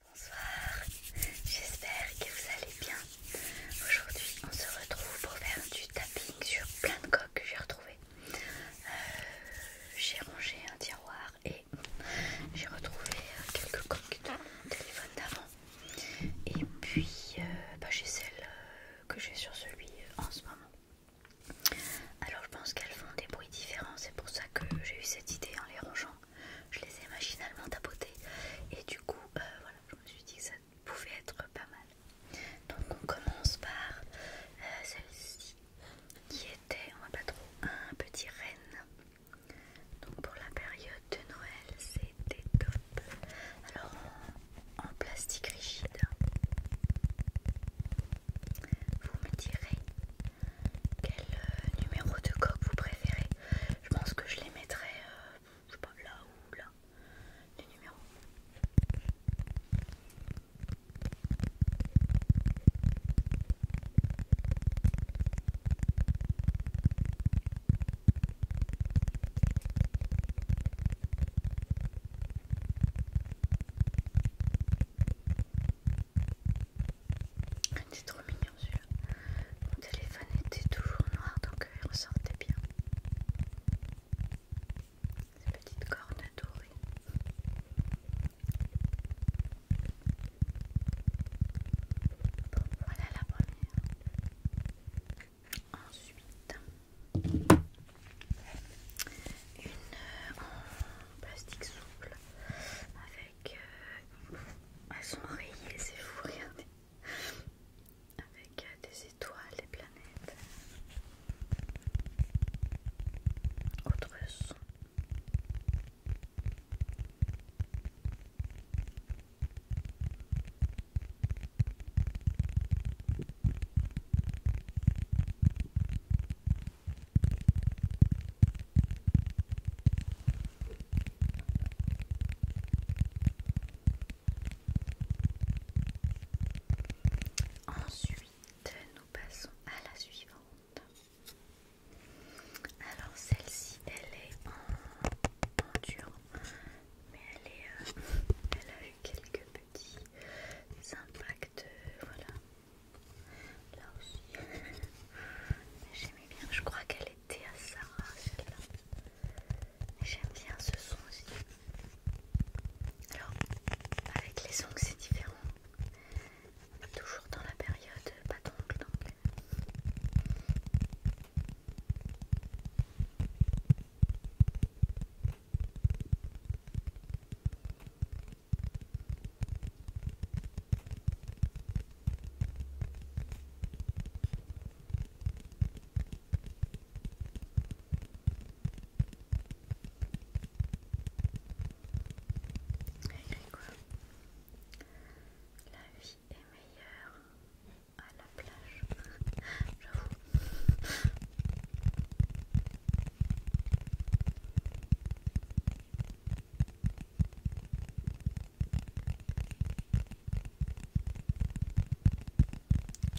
Bonsoir, j'espère que vous allez bien. Aujourd'hui, on se retrouve pour faire du tapping sur plein de coques que j'ai retrouvées. Euh, j'ai rangé un tiroir et j'ai retrouvé quelques coques de mon téléphone d'avant. Et puis, euh, bah, j'ai celle euh, que j'ai sur celui en ce moment. Alors je pense qu'elles font des bruits différents, c'est pour ça que j'ai eu cette idée en les rangeant. Je les ai machinalement tapotées et du coup, euh, voilà, je me suis dit que ça pouvait être pas mal. Donc on commence par euh, celle-ci qui était, on va pas trop, un petit renne. Donc pour la période de Noël, c'était top. Alors en plastique rigide. Vous me direz quel euh, numéro de coque vous préférez. Je pense que je les mettrai, euh, je sais pas, là ou là, les numéros. C'est trop mignon celui-là. Mon téléphone était toujours noir donc euh, il ressortait bien. Ces petites cornes dorée. Bon, voilà la première. Ensuite, une euh, en plastique souple avec. Euh, elles sont rayées, c'est fou, regardez! Avec euh, des étoiles, des planètes. Autre son. Ensuite, nous passons à la suivante. Alors celle-ci, elle est en, mais elle est, euh, elle quelques petits impacts, voilà. Là aussi, j'aimais bien, je crois qu'elle était à Sarah celle-là. J'aime bien ce son aussi. Alors, avec les ongles, c'est différent. Toujours dans la période pas d'ongles donc. La vie est meilleure à la plage, j'avoue.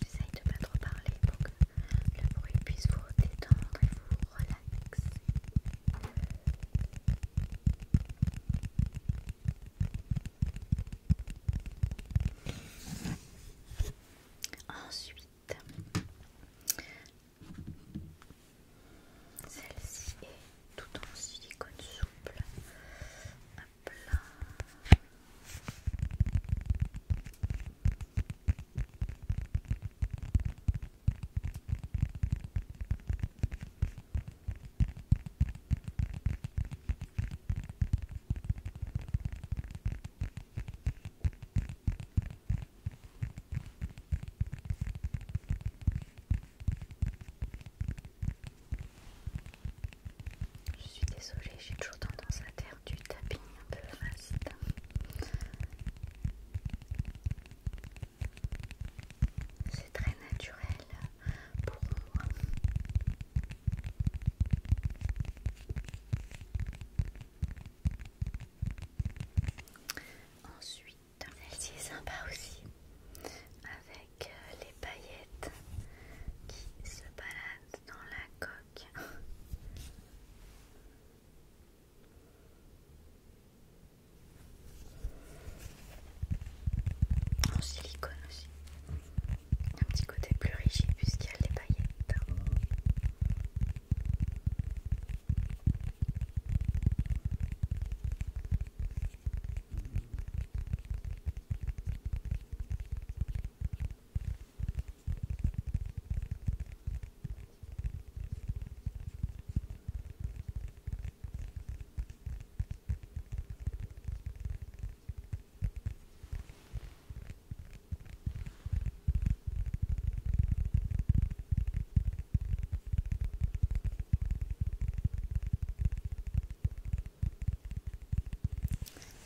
J'essaye de pas trop parler pour que le bruit puisse vous détendre et vous relaxer. Ensuite, celle-ci est tout en silicone souple. Je suis désolée, j'ai toujours tendance à faire du tapping un peu racine. C'est très naturel Ensuite, celle-ci est sympa aussi, avec euh, les paillettes qui se baladent dans la coque. En silicone aussi. Un petit côté plus rigide puisqu'il y a les paillettes.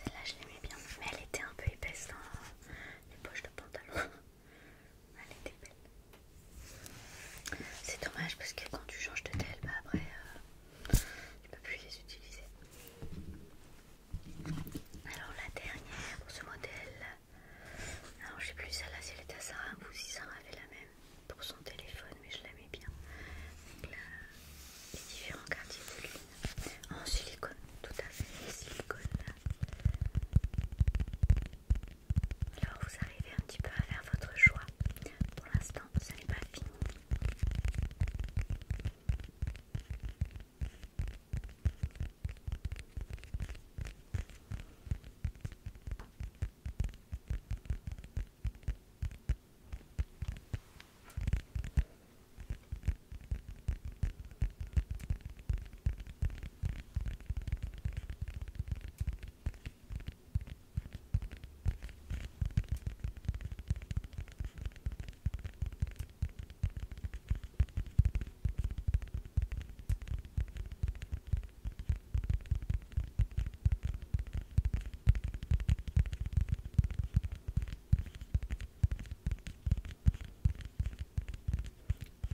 Celle-là, je l'aimais bien, mais elle était un peu épaisse dans hein. les poches de pantalon. Elle était belle. C'est dommage parce que quand tu changes de tel, bah après euh, tu peux plus les utiliser. Alors la dernière pour ce modèle, alors je sais plus celle-là si elle était à Sarah ou si Sarah avait la même pour son téléphone, mais je l'aimais bien. Donc là, les différents quartiers de lune en silicone, tout à fait silicone. Alors vous arrivez un petit peu à faire votre choix. Pour l'instant, ce n'est pas fini.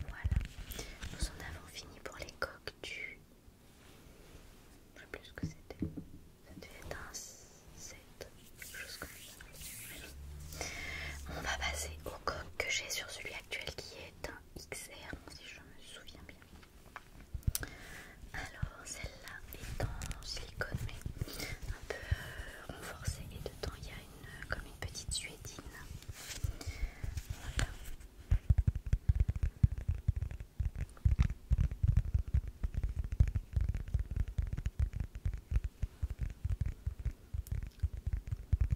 Voilà, nous en avons fini pour les coques du je sais plus ce que c'était. Ça devait être un 7, quelque chose comme ça. On va passer au coq que j'ai sur celui actuel qui est un XR, si je me souviens bien. Alors, celle-là est en silicone, mais un peu euh, renforcée, et dedans il y a une, comme une petite suédine. Voilà.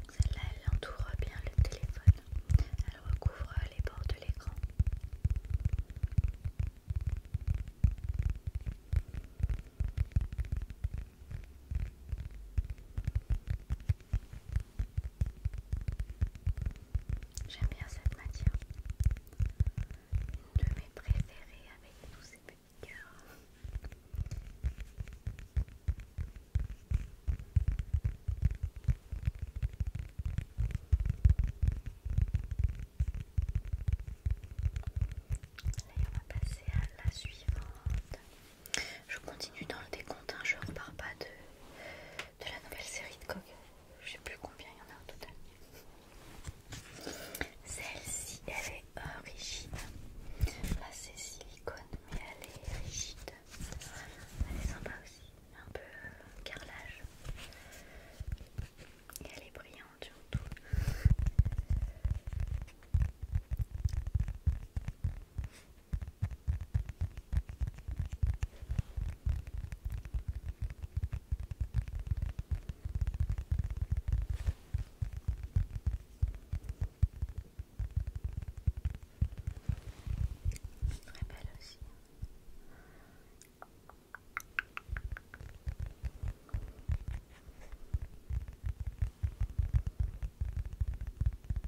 Celle-là, elle entoure bien le téléphone. Elle recouvre les bords de l'écran. J'aime bien cette matière. Une de mes préférées avec tous ces petits cœurs. Allez, on va passer à la suivante. Je continue dans le décompte, je hein, je repars pas de, la nouvelle série de coques. Je ne sais plus combien il y en a au total. Celle-ci, elle est rigide. Pas c'est silicone, mais elle est rigide. Elle est sympa aussi, un peu euh, carrelage. Et elle est brillante surtout. Très belle aussi.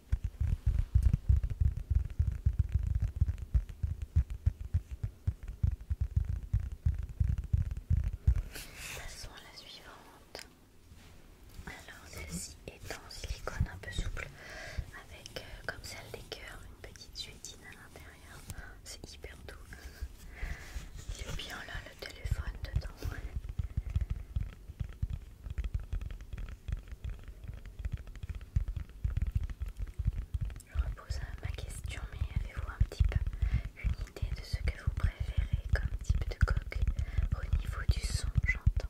Passons à la suivante. Alors celle-ci est en silicone un peu souple avec euh, comme celle des cœurs une petite suétine à l'intérieur. C'est hyper doux. Et a bien là le téléphone dedans. Je repose ma question, mais avez-vous un petit peu une idée de ce que vous préférez comme type de coque au niveau du son, j'entends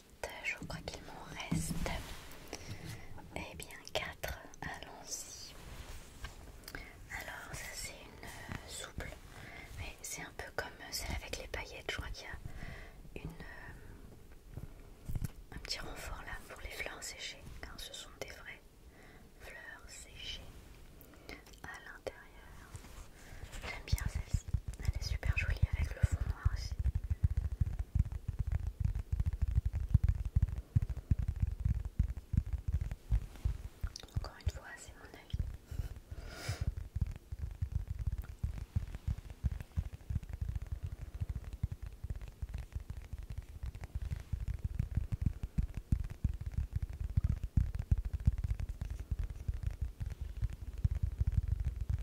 je crois qu'il m'en reste et eh bien 4 allons-y alors ça c'est une euh, souple mais c'est un peu comme euh, celle avec les paillettes je crois qu'il y a une euh, un petit renfort là pour les fleurs séchées car ce sont des vraies fleurs séchées à l'intérieur. J'aime bien celle-ci. Elle est super jolie avec le fond noir aussi. Encore une fois, c'est mon avis.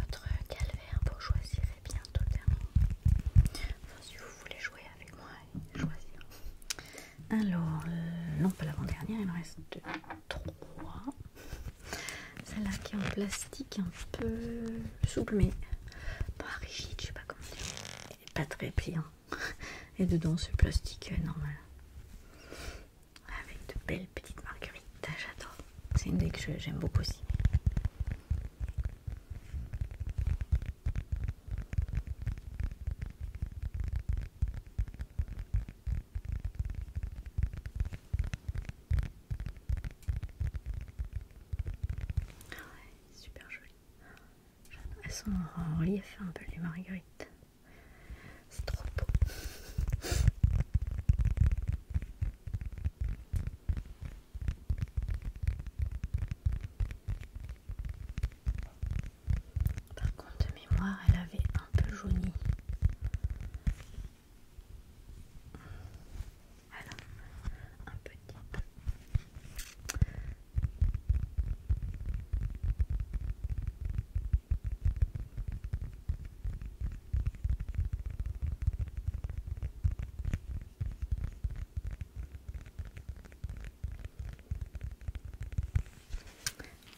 Votre calvaire vous choisirez bientôt dernier. Enfin, si vous voulez jouer avec moi, choisir. Alors, euh, non, pas l'avant-dernière, il me reste trois. Celle-là qui est en plastique, un peu souple, mais pas rigide, je sais pas comment dire. Et pas très pliant. Et dedans, c'est plastique euh, normal avec de belles petites marguerites. J'adore. C'est une des que j'aime beaucoup aussi. ouais, super joli. Elles sont en relief un peu les marguerites. C'est trop beau. Par contre, de mémoire, elle avait un peu jauni. Alors, un petit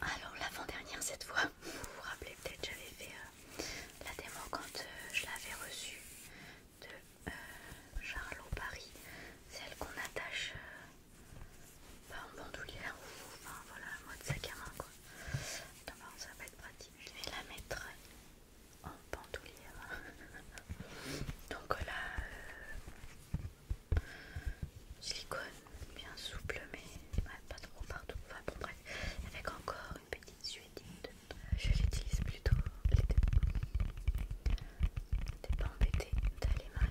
alors l'avant-dernière cette fois, vous vous rappelez peut-être j'avais fait euh, la démo quand euh, je l'avais reçue de euh, Charlot Paris, celle qu'on attache en bandoulière ou enfin voilà, mode sac à main quoi. D'abord bah, ça va être pratique. Je vais la mettre en bandoulière. Donc là, euh, silicone bien souple, mais pas trop partout. Enfin bon, bref, avec encore une petite suédine Je l'utilise plutôt elle T'es pas embêté d'aller mal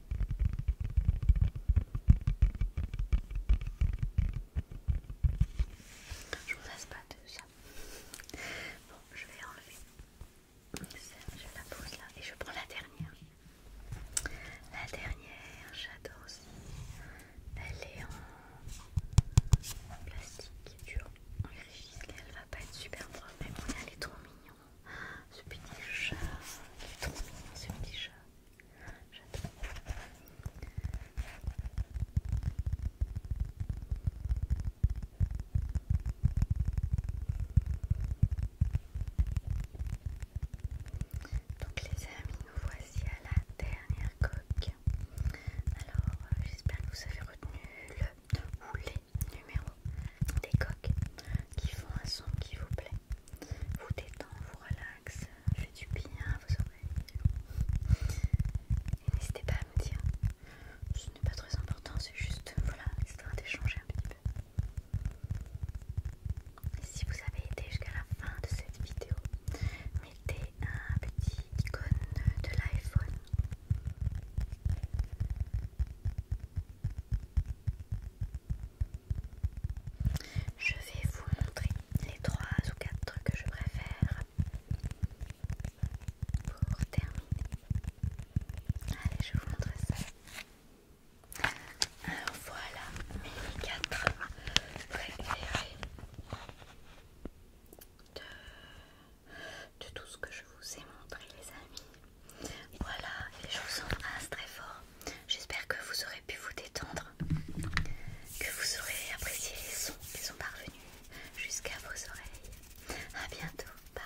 Je vous laisse pas de ça. Bon, je vais enlever. Je la pose là et je prends la dernière. La dernière, j'adore aussi. Elle est en plastique dur, en rigide, elle va pas être super propre, mais bon, elle est trop mignonne ce petit chat, ce petit chat, j'adore. Donc les amis, nous voici à la dernière coque. Alors euh, j'espère que vous avez retenu le poulet. Numéro des coques qui font un son qui vous plaît, vous détend, vous relaxe, fait du bien à vos oreilles. Et n'hésitez pas à me dire, ce n'est pas très important, c'est juste, voilà, histoire d'échanger un petit peu. si vous avez été jusqu'à la fin de cette vidéo, mettez un petit icône de l'iPhone je vais vous montrer les trois ou quatre que je préfère pour terminer. Allez, je vous montre ça. Alors voilà mes quatre préférés de tout ce que je vous ai montré les amis. Voilà, et je vous embrasse très fort. J'espère que vous aurez pu vous détendre, que vous aurez apprécié les sons qui sont parvenus jusqu'à vos oreilles. à bientôt, bye